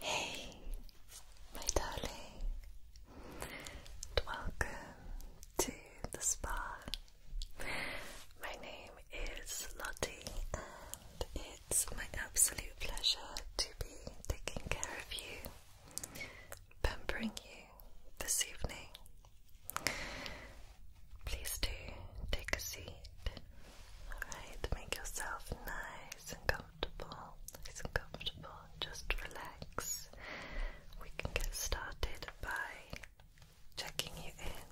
Hey, my darling, welcome to the spa. My name is Lottie, and it's my absolute pleasure to be taking care of you, pampering you this evening. Please do take a seat. Alright, make yourself nice and comfortable. Nice comfortable. Just relax. We can get started by checking you in.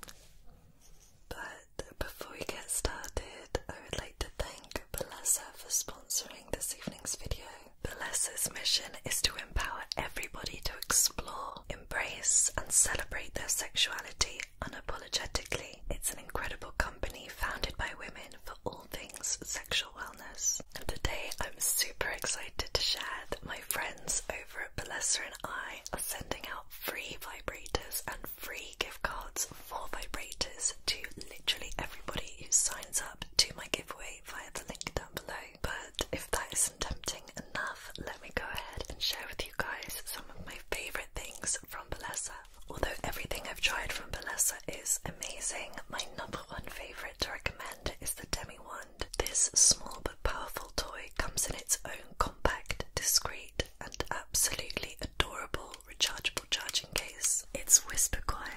But before we get started, I would like to thank Balessa for sponsoring this evening's video. Balessa's mission is to empower everybody to explore, embrace, and celebrate their sexuality unapologetically. It's an incredible company founded by women for all things sexual wellness. And today I'm super excited to share that my friends over Balestra and I are sending out free vibrators and free gift cards for vibrators to literally everybody who signs up to my giveaway via the link down below. But if that isn't tempting enough, let me go ahead and share with you guys some of my favourite things from Balestra. Although everything I've tried from Balestra is amazing, my number one favourite to recommend is the Demi one this small but powerful toy comes in its own compact, discreet, and absolutely adorable rechargeable charging case. It's whisper quiet,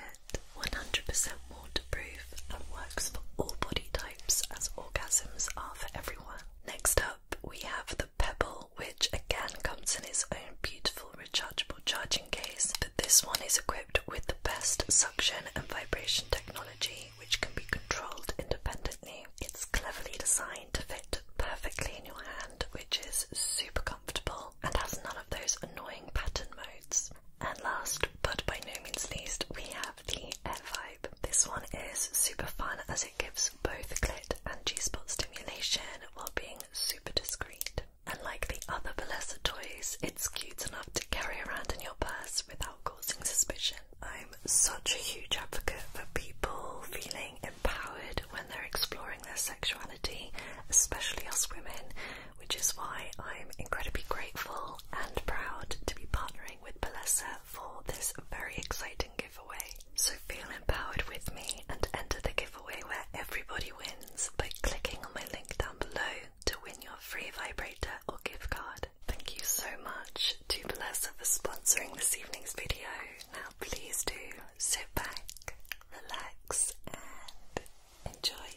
100% waterproof, and works for all body types as orgasms are for everyone. Next up, we have the Pebble, which again comes in its own beautiful rechargeable charging case, but this one is equipped with the best suction and vibration technology which can be controlled independently. It's cleverly designed to fit perfectly in your hand, which is super comfortable and has none of those annoying pattern modes. And last, but by no means least, we have the Air Vibe. This one is super fun as it gives both clit and G-spot stimulation while being super discreet. And like the other Balesa toys, it's cute enough to carry around in your purse without causing suspicion. I'm such a huge advocate for people feeling empowered when they're exploring their sexuality, especially us women, which is why I'm incredibly grateful and proud to be partnering with Palessa for this very exciting giveaway. So feel empowered with me and enter the giveaway where everybody wins by clicking on my link down below to win your free vibrator or gift card. Thank you so much to Blessa for sponsoring this evening's video. Now please do sit back, relax and enjoy.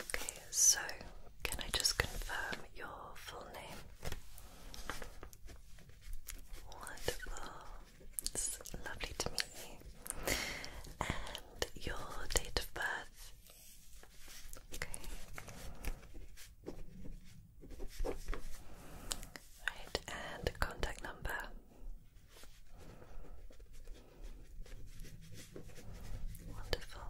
Okay, so can I just confirm your full name? Wonderful. lovely to meet you. And your date of birth Okay. Right, and contact number. Wonderful.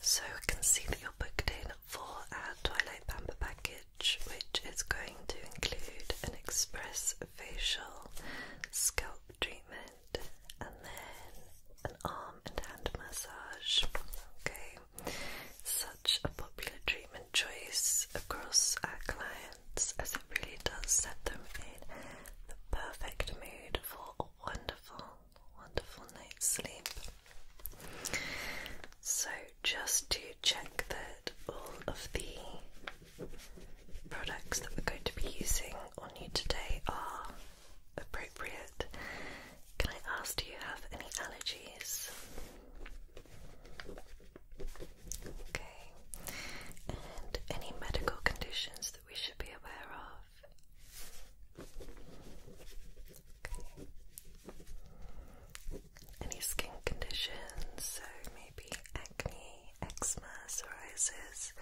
So I can see that you're booked in for our Twilight Pamper package, which is going to include an express facial scalp treatment and then an arm and hand massage. Okay, such a popular treatment choice across our clients as it really does set them in the perfect mood for wonderful, wonderful night's sleep. So, just to check that all of the products that we're going to be using on you today are appropriate. Can I ask, do you have any allergies? Okay. any medical conditions that we should be aware of? Any skin conditions, so maybe acne, eczema, psoriasis,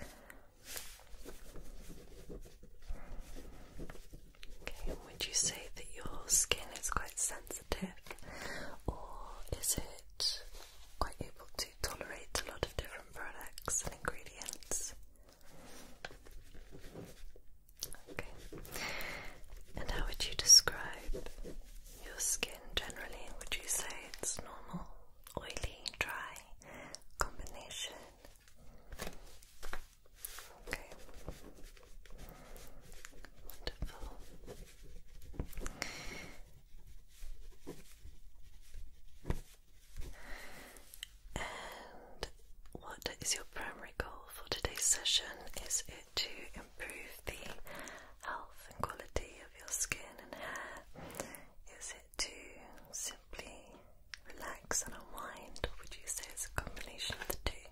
would you say that your skin is quite sensitive, or is it quite able to tolerate a lot of different products and ingredients? Okay, and how would you describe your skin generally? Would you say it's normal, oily, dry, combination? Okay. Wonderful. And what is your primary goal for today's session? Is it to improve the health and quality of your skin and hair? Is it to simply relax and unwind, or would you say it's a combination of the two?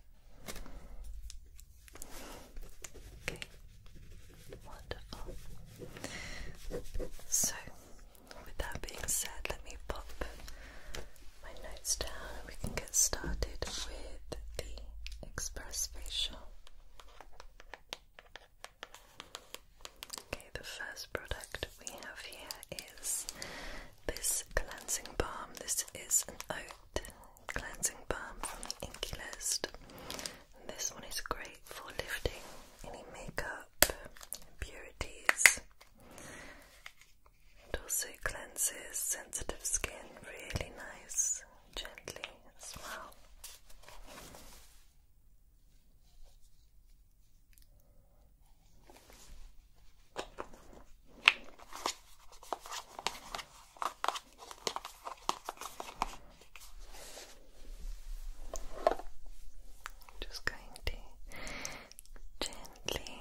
Okay, wonderful. So, with that being said, let me pop my notes down and we can get started with the express facial. Okay, the first product we have here is this cleansing balm. This is an oat cleansing balm from the Inky List. this one is great for lifting any makeup impurities. It also cleanses sensitive skin really nice, gently as well. Just going to gently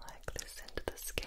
work this into the skin.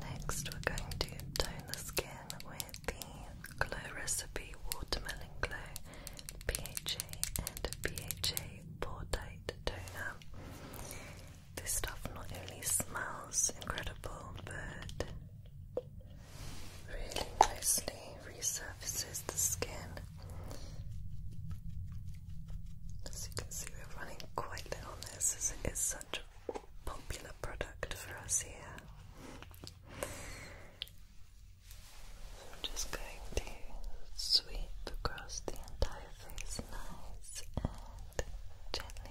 next we're going to tone the skin with the Glow Recipe Watermelon Glow PHA and PHA Pore Tight Toner. This stuff not only smells incredible, but really nicely resurfaces the skin. As you can see, we're running quite low on this as it is such a popular product for us here. I'm just going to sweep across the entire softens nice and gently.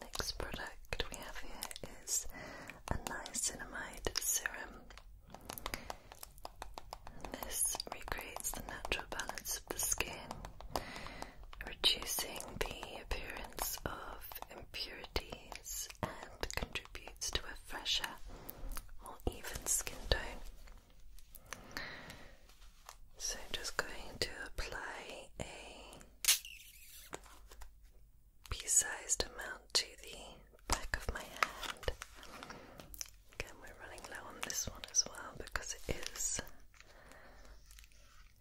Next product we have here is a niacinamide serum. This recreates the natural balance of the skin reducing the appearance of impurities and contributes to a fresher, or even skin tone. So I'm just going to apply a pea-sized amount to the back of my hand. Again, we're running low on this one as well because it is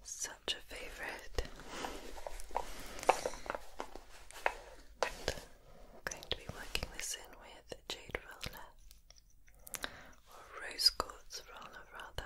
such a favorite. going to be working this in with jade roller or rose quartz roller rather.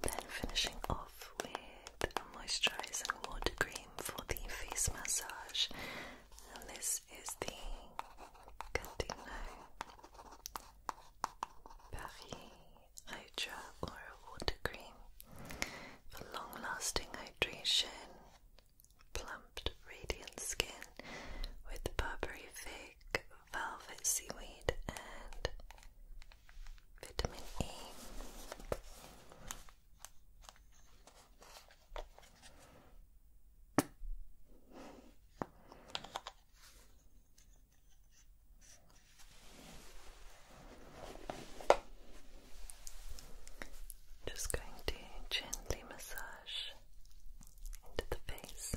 Then finishing off with a moisturizing water cream for the face massage. And this is the Cantino Paris Hydra Oral Water Cream for long lasting hydration, plumped, radiant skin with Burberry Velvet Seaweed, and Vitamin E. Just going to gently massage into the face.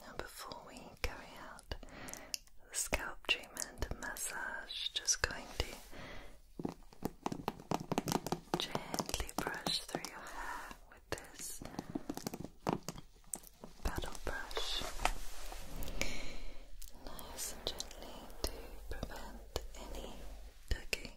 Now, before we carry out the scalp treatment massage, just going to gently brush through your hair with this paddle brush. Nice and gently to prevent any tugging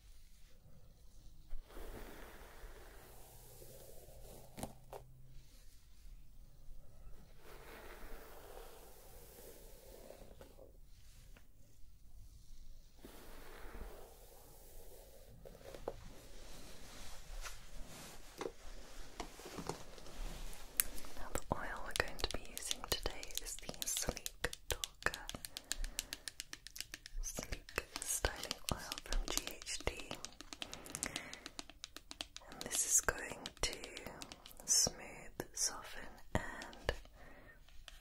Now, the oil we're going to be using today is the Sleek Sleek Styling Oil from GHD. And this is going to smooth, soften, and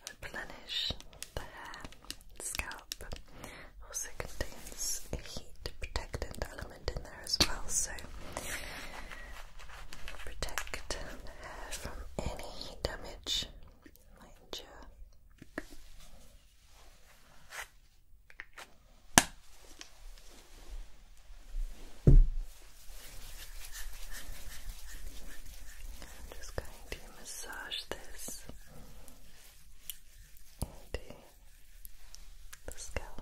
replenish the hair, scalp. Also contains a heat protectant element in there as well, so protect the hair from any damage I'm just going to massage this into the scalp.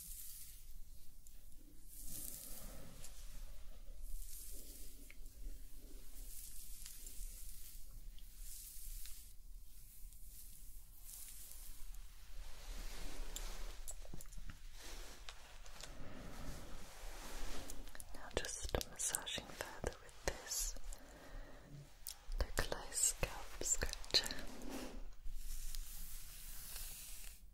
Now, just massaging further with this localized scalp scratcher.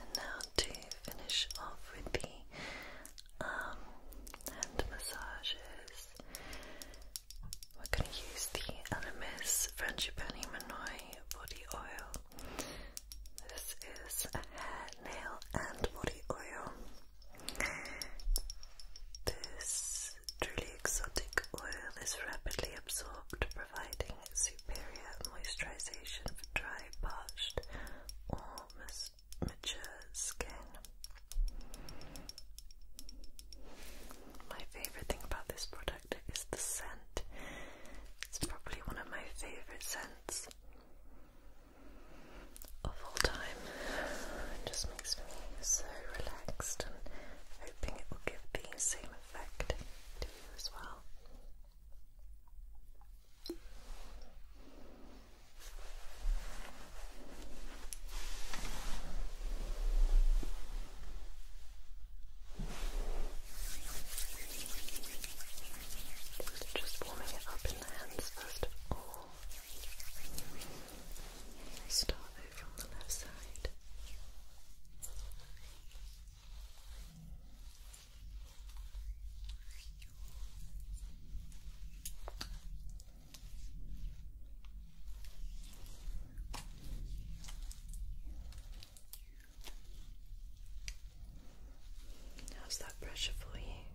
And now to finish off with the um, hand massages, we're going to use the Elemis Frangipani Manoi body oil. This is a hair, nail, and body oil. This truly exotic oil is rapidly absorbed, providing superior moisturization for dry, parched, or mature skin. My favorite thing about this product is the scent. It's probably one of my favorite scents of all time. just makes me so relaxed and hoping it will give the same effect to you as well. Just warming it up in hands first of all. Start over on the left side. How's that pressure for you?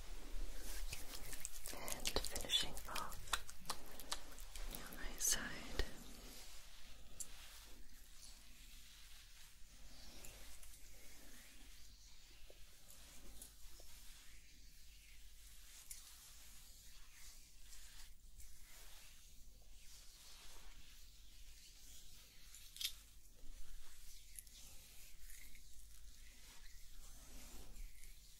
And finishing off your side.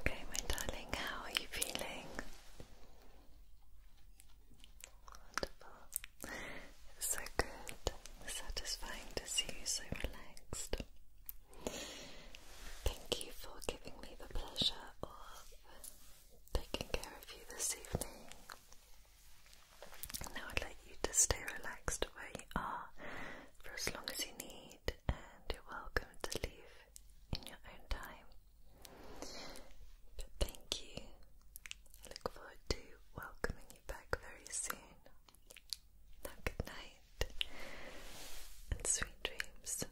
Okay, my darling, how are you feeling? Wonderful. so good. Satisfying to see you so relaxed. Thank you for giving me the pleasure of taking care of you this evening. Now I'd like you to stay relaxed where you are for as long as you need, and you're welcome to leave in your own time. But thank you. I look forward to welcoming you back very soon. Now, good night and sweet dreams.